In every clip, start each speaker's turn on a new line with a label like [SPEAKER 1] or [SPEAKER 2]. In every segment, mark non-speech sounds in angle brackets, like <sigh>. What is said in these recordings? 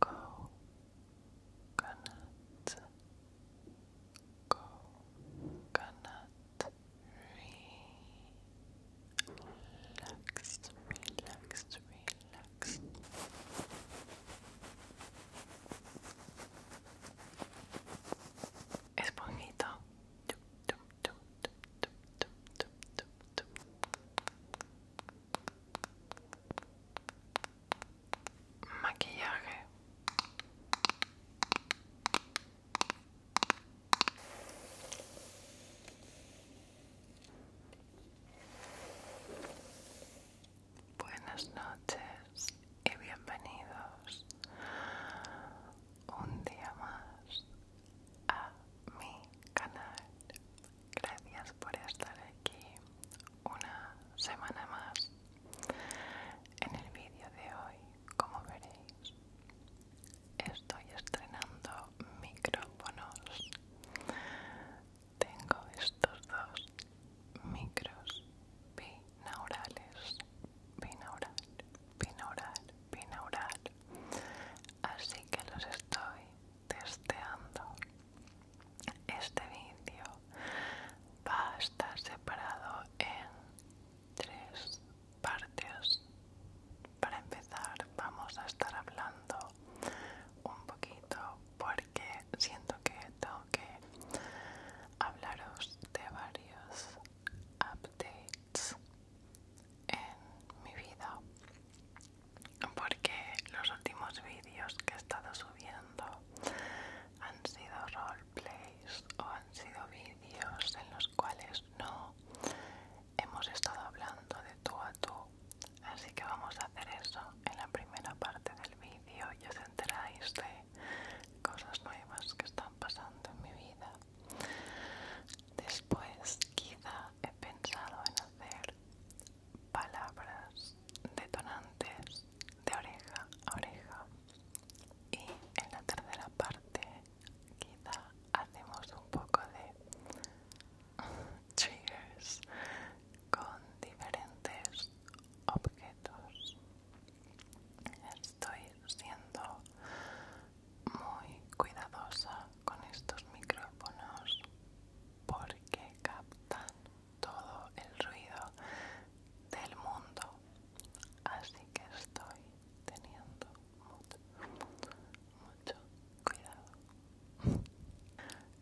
[SPEAKER 1] Coconut, coconut, relaxed, relaxed, relaxed. Esponjito. maquillaje Buenas noches y bienvenidos un día más a mi canal gracias por estar aquí una semana más. En el vídeo de hoy, como veréis, estoy estrenando micrófonos. Tengo estos dos micros binaurales, binaural, binaural, binaural. Así que los estoy testeando este vídeo va a estar separado en tres partes. Para empezar vamos a estar hablando un poquito porque siento que tengo que hablaros de varios updates en mi vida porque los últimos vídeos que he estado subiendo han sido roleplays o han sido vídeos en los cuales no hemos estado hablando de tú a tú así que vamos a hacer eso en la primera parte del vídeo y os enteráis de cosas nuevas que están pasando en mi vida después quizá he pensado en hacer palabras detonantes de oreja a oreja y en la tercera parte quizá hacemos un poco de triggers con diferentes objetos estoy siendo muy cuidadosa con estos micrófonos porque captan todo el ruido del mundo. Así que estoy teniendo mucho, mucho, cuidado.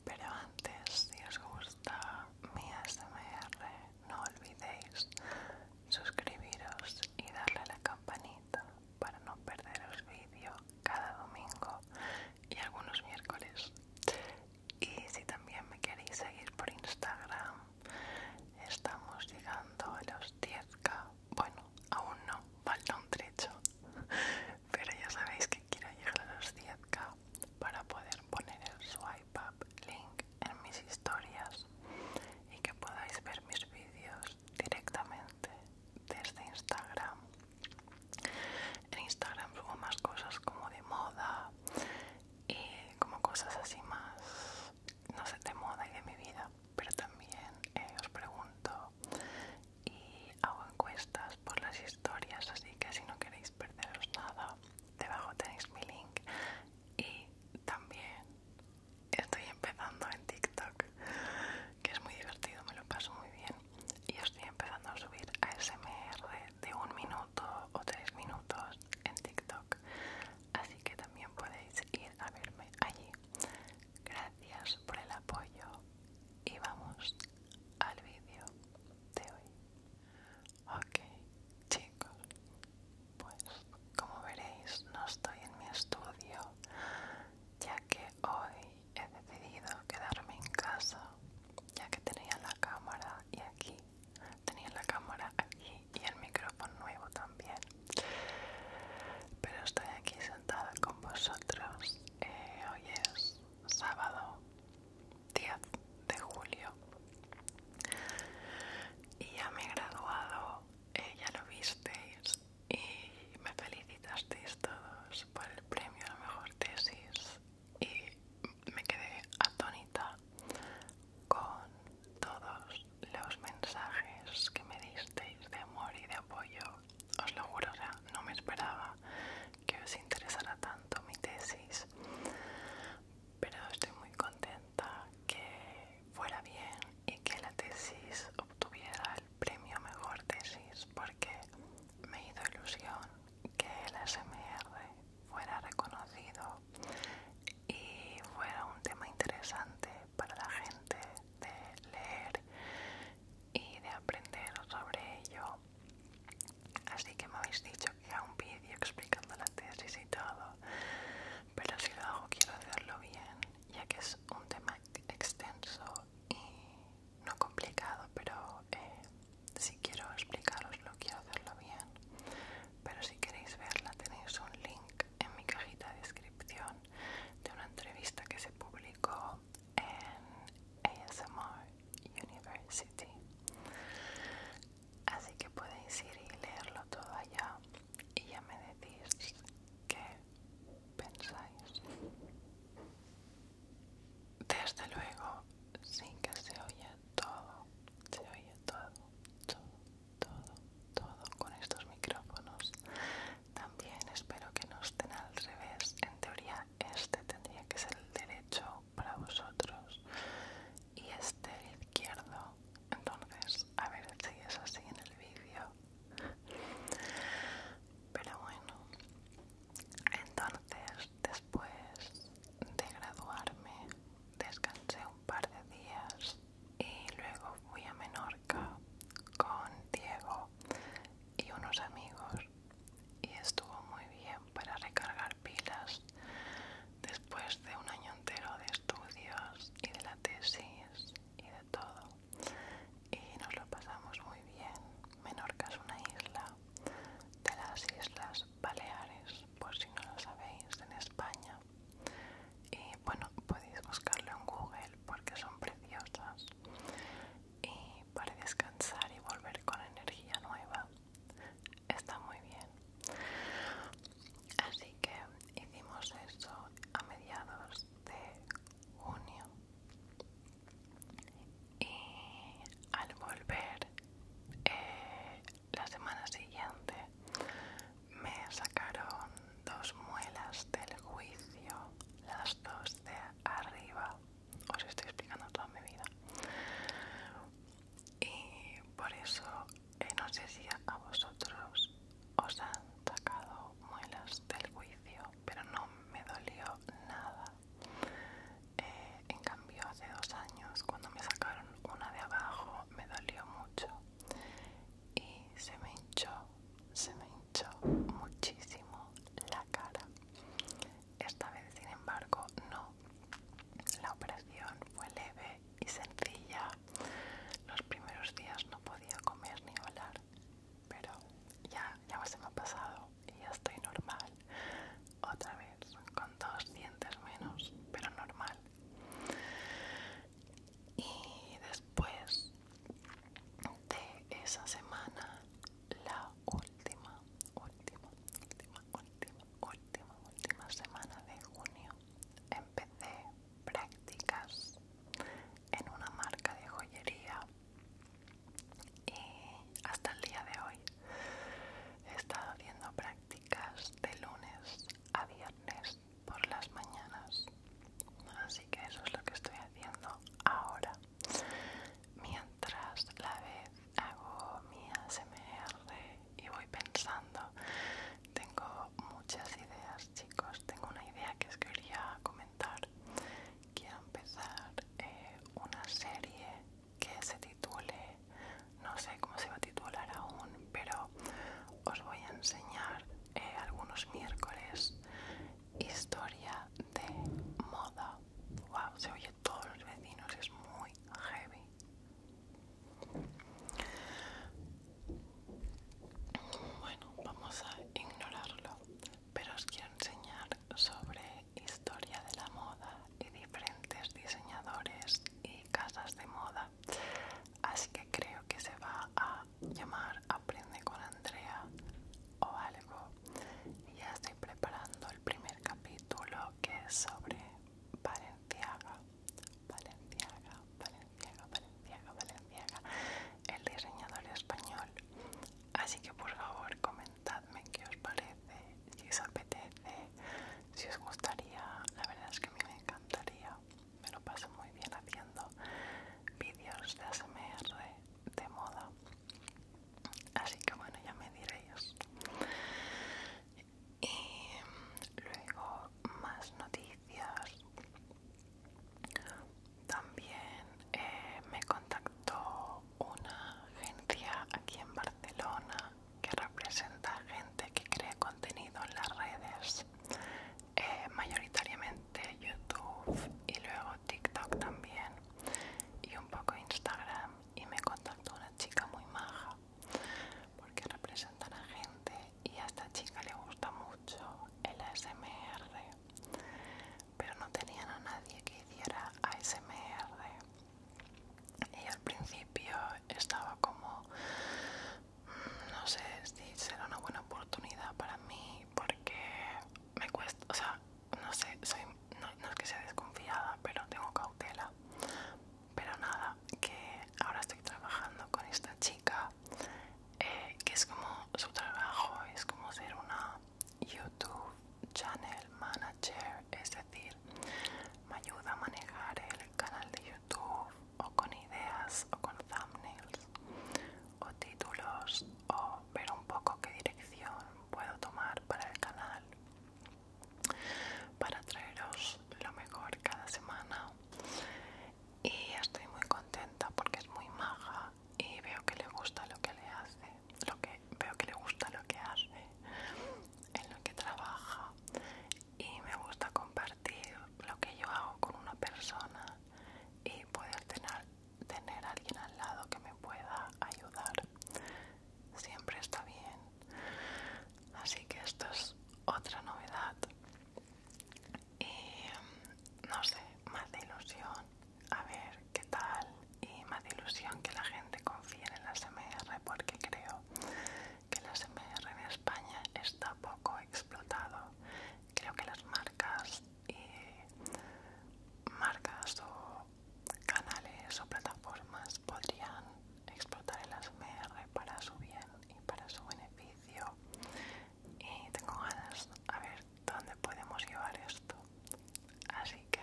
[SPEAKER 1] Pero antes, si os gusta mi smr no olvidéis suscribiros y darle a la campanita para no perderos vídeo cada domingo y algunos miércoles. Y si también me queréis seguir por Instagram, estamos llegando a los 10k. Bueno, aún no, falta un trecho. <laughs> Pero ya sabéis que quiero llegar a los 10k para poder poner el swipe up link en mis historias y que podáis ver mis vídeos directamente desde Instagram en Instagram subo más cosas como de moda y como cosas así más, no sé, de moda y de mi vida. Pero también eh, os pregunto y hago encuestas por las historias, así que si no queréis perderos nada, debajo tenéis mi link. Y también estoy empezando en TikTok que es muy divertido, me lo paso muy bien y estoy empezando a subir a ASMR de un minuto o tres minutos en TikTok así que también podéis ir a verme allí gracias por el apoyo y vamos al vídeo de hoy ok chicos pues como veréis no estoy en mi estudio ya que hoy he decidido quedarme en casa ya que tenía la cámara y aquí tenía la cámara aquí y el micrófono nuevo también pero estoy aquí sentada con vosotros eh, hoy es sábado 10 de julio y ya me he graduado eh, ya lo visteis y me felicitasteis todos por el premio a la mejor tesis y me quedé atónita con todos los mensajes que me disteis de amor y de apoyo. Os lo juro, no me esperaba que os interesara tanto mi tesis, pero estoy muy contenta que fuera bien y que la tesis obtuviera premio Mejor Tesis porque me hizo ilusión que el SMR fuera reconocido y fuera un tema interesante para la gente de leer y de aprender sobre ello. Así que me habéis dicho que haga un vídeo explicando la tesis y todo, pero si lo hago quiero hacerlo bien, ya que es un tema extenso y no complicado, pero eh, si quiero explicaros lo quiero hacerlo bien. Pero si queréis verla tenéis un link en mi cajita de descripción de una entrevista que se publicó en ASMR University. Así que podéis ir y leerlo todo allá y ya me decís que pensáis. Desde luego, sí que se oye todo, se oye todo, todo, todo, todo con estos micrófonos. También espero que no estén al revés. En teoría, este tendría que ser el derecho para vosotros y este el izquierdo. Entonces, a ver si es así en el vídeo. Pero bueno, entonces después de graduarme descansé un par de días y luego fui a Menorca con Diego y unos amigos y estuvo muy bien para recargar pilas después de un año entero de estudios y de la tesis y todo y nos lo pasamos muy bien. Menorca es una isla de las Islas Baleares, por si no lo sabéis, en España. Y bueno, podéis buscarlo en Google porque son preciosas. Y para descansar y volver con energía nueva, está muy bien. Así que hicimos eso a mediados de junio y al volver eh, la semana siguiente me sacaron dos muelas del juicio las dos de arriba os estoy explicando toda mi vida y por eso eh, no sé si a vosotros os han sacado muelas del juicio, pero no me dolió nada. Eh, en cambio, hace dos años, cuando me sacaron una de abajo, me dolió mucho y se me hinchó, se me hinchó muchísimo la cara. Esta vez, sin embargo, no. La operación fue leve y sencilla. Los primeros días no podía comer ni hablar pero ya, ya se me ha pasado y ya estoy normal. Otra vez, con dos dientes menos, pero normal. Y después de esa semana, la última, última, última, última, última, última semana de junio, empecé prácticas en una marca de joyería y hasta el día de hoy he estado haciendo prácticas de lunes a viernes por las mañanas así que eso es lo que estoy haciendo ahora mientras la vez hago mi ASMR y voy pensando tengo muchas ideas, chicos. Tengo una idea que os quería comentar. Quiero empezar eh, una serie que se titule, no sé cómo se va a titular aún, pero os voy a enseñar eh, algunos miércoles historia de moda. Wow, se oye todos los vecinos, es muy heavy. Bueno, vamos a ignorarlo, pero os quiero enseñar sobre historia de la moda y diferentes diseñadores y casas de moda. Así que creo que se va a llamar Aprende con Andrea o algo. Ya estoy preparando el primer capítulo que es sobre Valenciaga Valenciaga, Valenciaga, Valenciaga, Valenciaga, el diseñador español. Así que por favor comentadme qué os parece, si os apetece, si os gustaría. La verdad es que a mí me encantaría. Me lo paso muy bien haciendo vídeos de ASMR de moda. Así que bueno, ya me diréis. Y luego más noticias. También eh, me contactó una agencia aquí en Barcelona que representa gente que crea contenido en las redes, eh, mayoritariamente YouTube y luego TikTok también y un poco Instagram y me contactó una chica muy maja porque representan a gente y a esta chica le gusta mucho el ASMR, pero no tenían a nadie que hiciera ASMR. Y al principio estaba como, mm, no sé si será una buena oportunidad para mí, porque me cuesta, o sea, no sé, soy, no es que sea desconfiada, pero tengo cautela. Pero nada, que ahora estoy trabajando con esta chica eh, que es como su trabajo, es como ser una YouTube Channel Manager, es decir, me ayuda a manejar el canal de YouTube o con ideas o con thumbnails o títulos o ver un poco qué dirección puedo tomar para el canal para traeros lo mejor cada semana y estoy muy contenta porque es muy maja y veo que le gusta lo que le hace, lo que veo que le gusta lo que hace, en lo que trabaja y me gusta compartir lo que yo hago con una persona y poder tener tener a alguien al lado que me pueda ayudar siempre está bien así que esto es otra novedad y mm, no sé, más de ilusión, a ver qué tal y más de ilusión que la gente confíe en las MR porque creo que las MR en España está poco explotado. Creo que las marcas y marcas o canales o plataformas podrían explotar el ASMR para su bien y para su beneficio y tengo ganas a ver dónde podemos llevar esto. Así que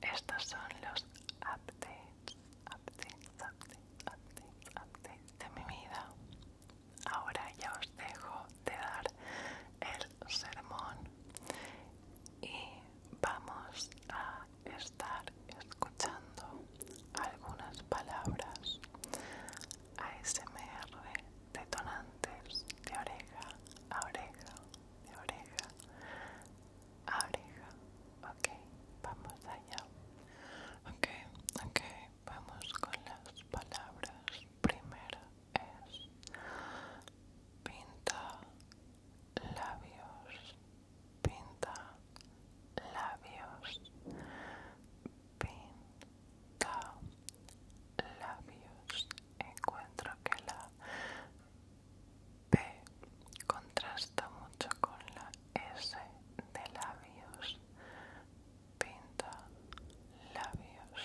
[SPEAKER 1] estos son los updates, updates, updates, updates, updates de mi vida. Ahora ya os dejo de dar el sermón y vamos a estar escuchando algunas palabras ASMR detonantes de oreja a oreja, de oreja a oreja. Ok, vamos allá. Ok, ok, vamos con las palabras. primero es pinta labios pinta labios, pinta labios. Encuentro que la P contrasta mucho con la S de labios. Pinta labios,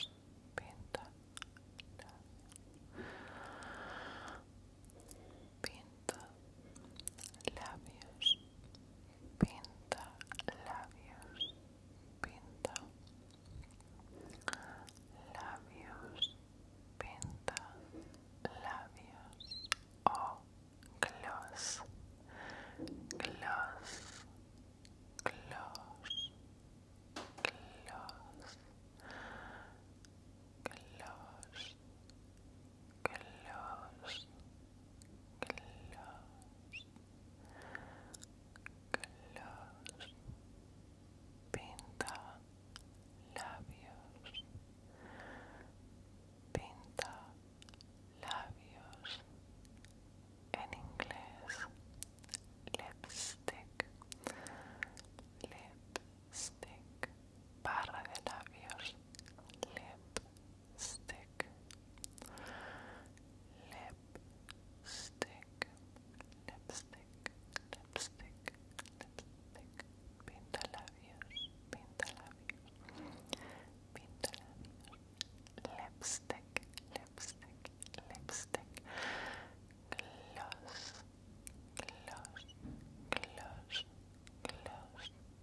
[SPEAKER 1] pinta labios, pinta labios pinta labios, pinta labios, pinta labios o gloss, gloss, gloss, gloss, gloss close, close, close, pinta labios, pinta labios, en inglés, lipstick, lipstick, barra de labios, lip stick lipstick lipstick lipstick lipstick pintalabios pintalabios pintalabios lipstick lipstick lipstick gloss gloss gloss gloss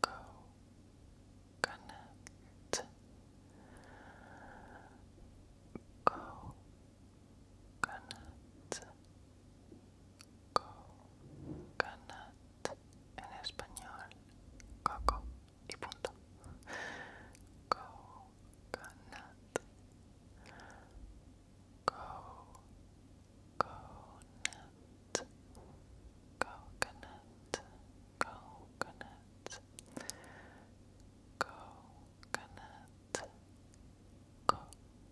[SPEAKER 1] coconut coconut coconut en español coco y punto coconut coconut coconut, coconut, coconut, coconut, coco,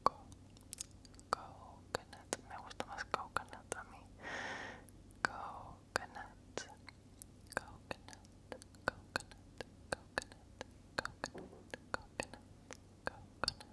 [SPEAKER 1] coconut, me gusta más coconut a mí, coconut, coconut, coconut, coconut, coconut, coconut, coconut,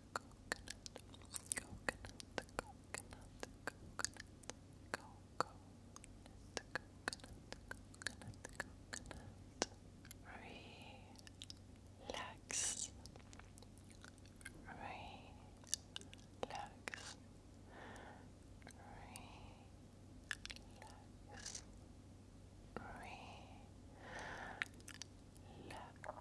[SPEAKER 1] coconut, coconut, coconut, coconut, cocoa, the coconut, coconut, coconut. Relax, relax, relax. Relax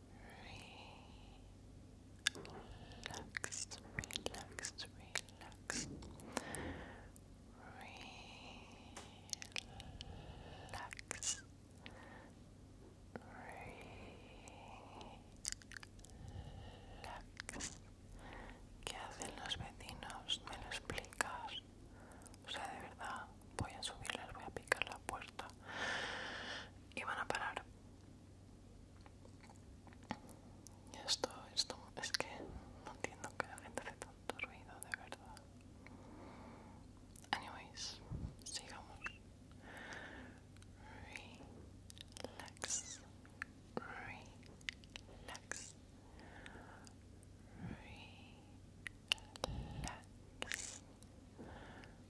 [SPEAKER 1] Relax, relax, relax relax, relax. ¿Qué hacen los vecinos? ¿Me lo explicas? O sea, de verdad, voy a subirles, voy a picar la puerta y van a parar. Esto, esto, es que no entiendo que la gente hace tanto ruido, de verdad. Anyways, sigamos.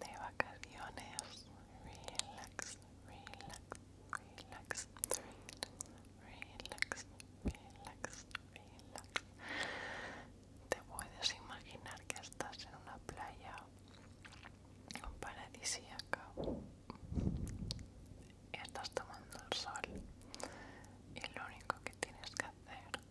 [SPEAKER 1] de vacaciones. Relax, relax, relax, relax, relax, relax. Te puedes imaginar que estás en una playa paradisíaca. Estás tomando el sol y lo único que tienes que hacer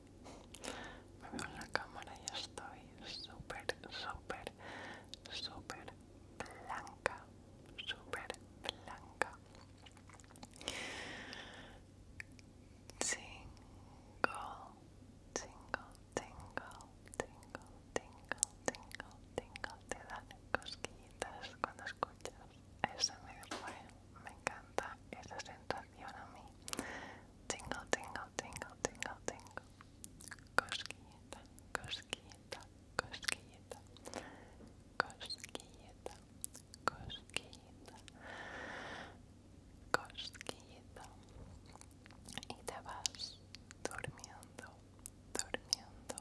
[SPEAKER 1] Me veo en la cámara y estoy súper, súper, súper blanca, súper blanca. Tingle, tingle, tingle, tingle, tingle, tingle, tingle. Te dan cosquillitas cuando escuchas. Eso me fue, me encanta esa sensación a mí. Tingle, tingle, tingle, tingle, tingle. Cosquillita, cosquillita, cosquillita. Cosquillita, cosquillita. Cosquillita. Y te vas durmiendo, durmiendo,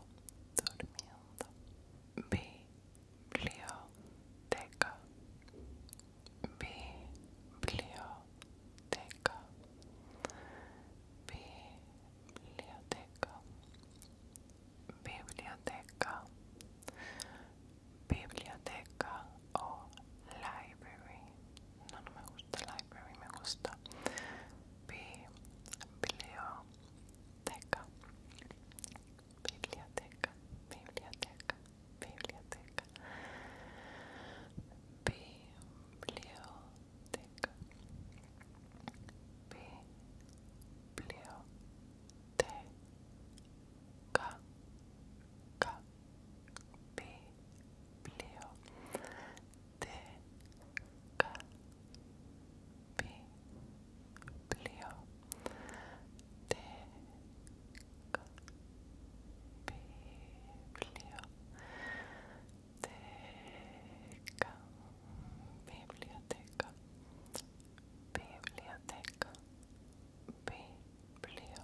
[SPEAKER 1] durmiendo. Biblioteca biblioteca, biblioteca, biblioteca, biblioteca o library. No, me gusta library, me gusta biblioteca, biblioteca, biblioteca. biblioteca biblioteca biblioteca ca biblioteca biblioteca biblioteca, biblioteca, biblioteca, biblioteca, biblioteca, biblioteca, biblioteca, biblioteca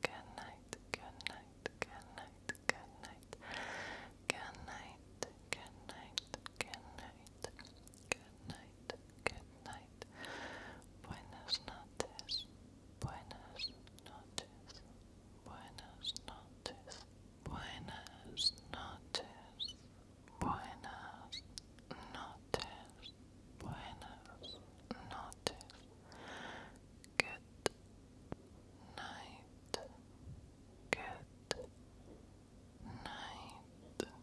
[SPEAKER 1] Good night. Good night. Good night. Good night. Good night. Good night. Good night. Good night. Good night. Buenas noches. Buenas noches. Buenas noches. Buenas noches. Buenas noches buenas noches, good night, good night, good night, good, good, good night, night, night,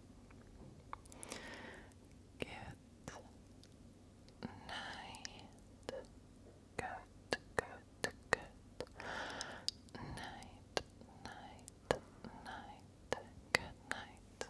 [SPEAKER 1] night. Good night,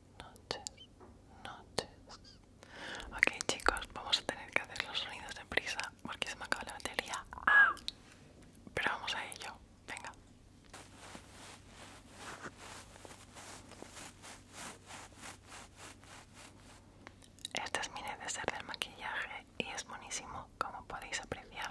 [SPEAKER 1] noches, noches. Ok chicos, vamos a tener que hacer los sonidos de prisa porque se me acaba la batería. ¡Ah! Pero vamos a ello, venga. Este es mi ser del maquillaje y es buenísimo, como podéis apreciar.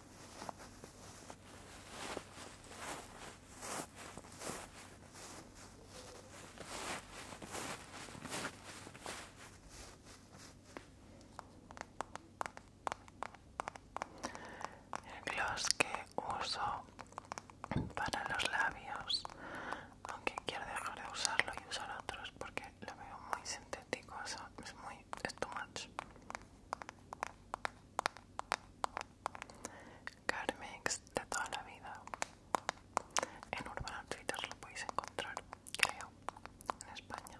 [SPEAKER 1] El gloss que uso para los labios, aunque quiero dejar de usarlo y usar otros porque lo veo muy sintético, es muy es too Carmex de toda la vida. En Urban Outfitters lo podéis encontrar, creo, en España.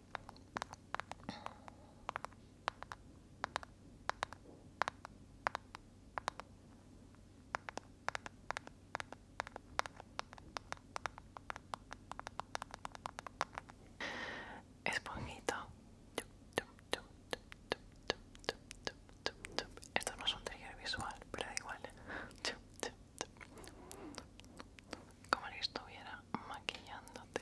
[SPEAKER 1] Esponjito. Esto no es un trigger visual, pero da igual. Como si estuviera maquillándote.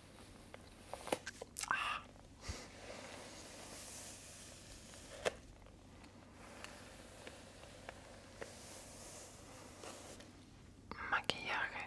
[SPEAKER 1] Ah. Maquillaje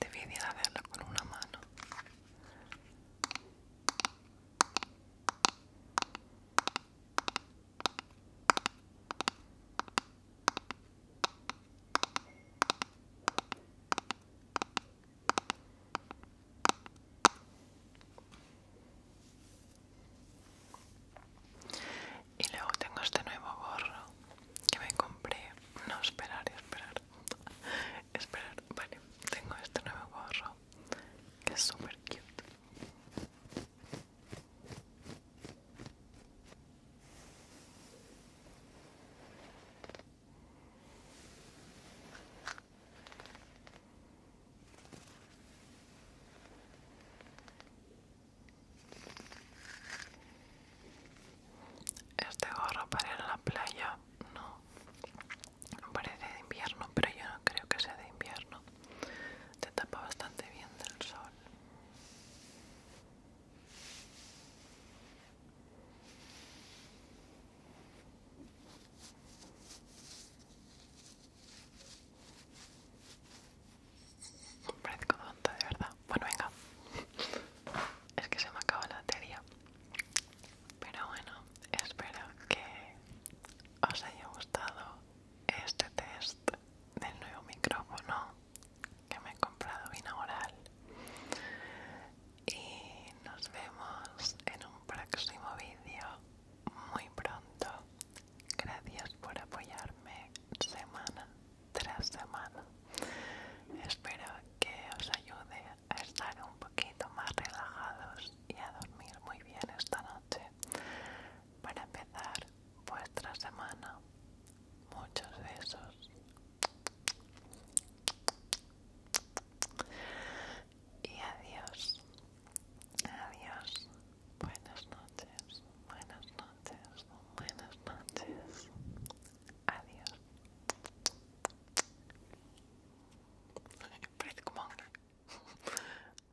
[SPEAKER 1] dividir a verla con una mano. Y luego tengo este nuevo gorro que me compré. No, esperar, esperar. <laughs> esperar, vale. Tengo este nuevo gorro que es súper cute. Este gorro para en la playa, no. Parece de invierno, pero yo no creo que sea de invierno. Te tapa bastante bien del sol. Parezco tonta, de verdad. Bueno, venga. Es que se me acaba la batería. Pero bueno, espero que os haya gustado este test del nuevo micrófono que me he comprado binaural y nos vemos en un próximo vídeo muy pronto gracias por apoyarme semana tras semana espero que os ayude a estar un poquito más relajados y a dormir muy bien esta noche para empezar vuestra semana. Muchos besos. Y adiós. Adiós. Buenas noches. Buenas noches. Buenas noches. Adiós. <laughs>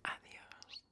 [SPEAKER 1] Adiós.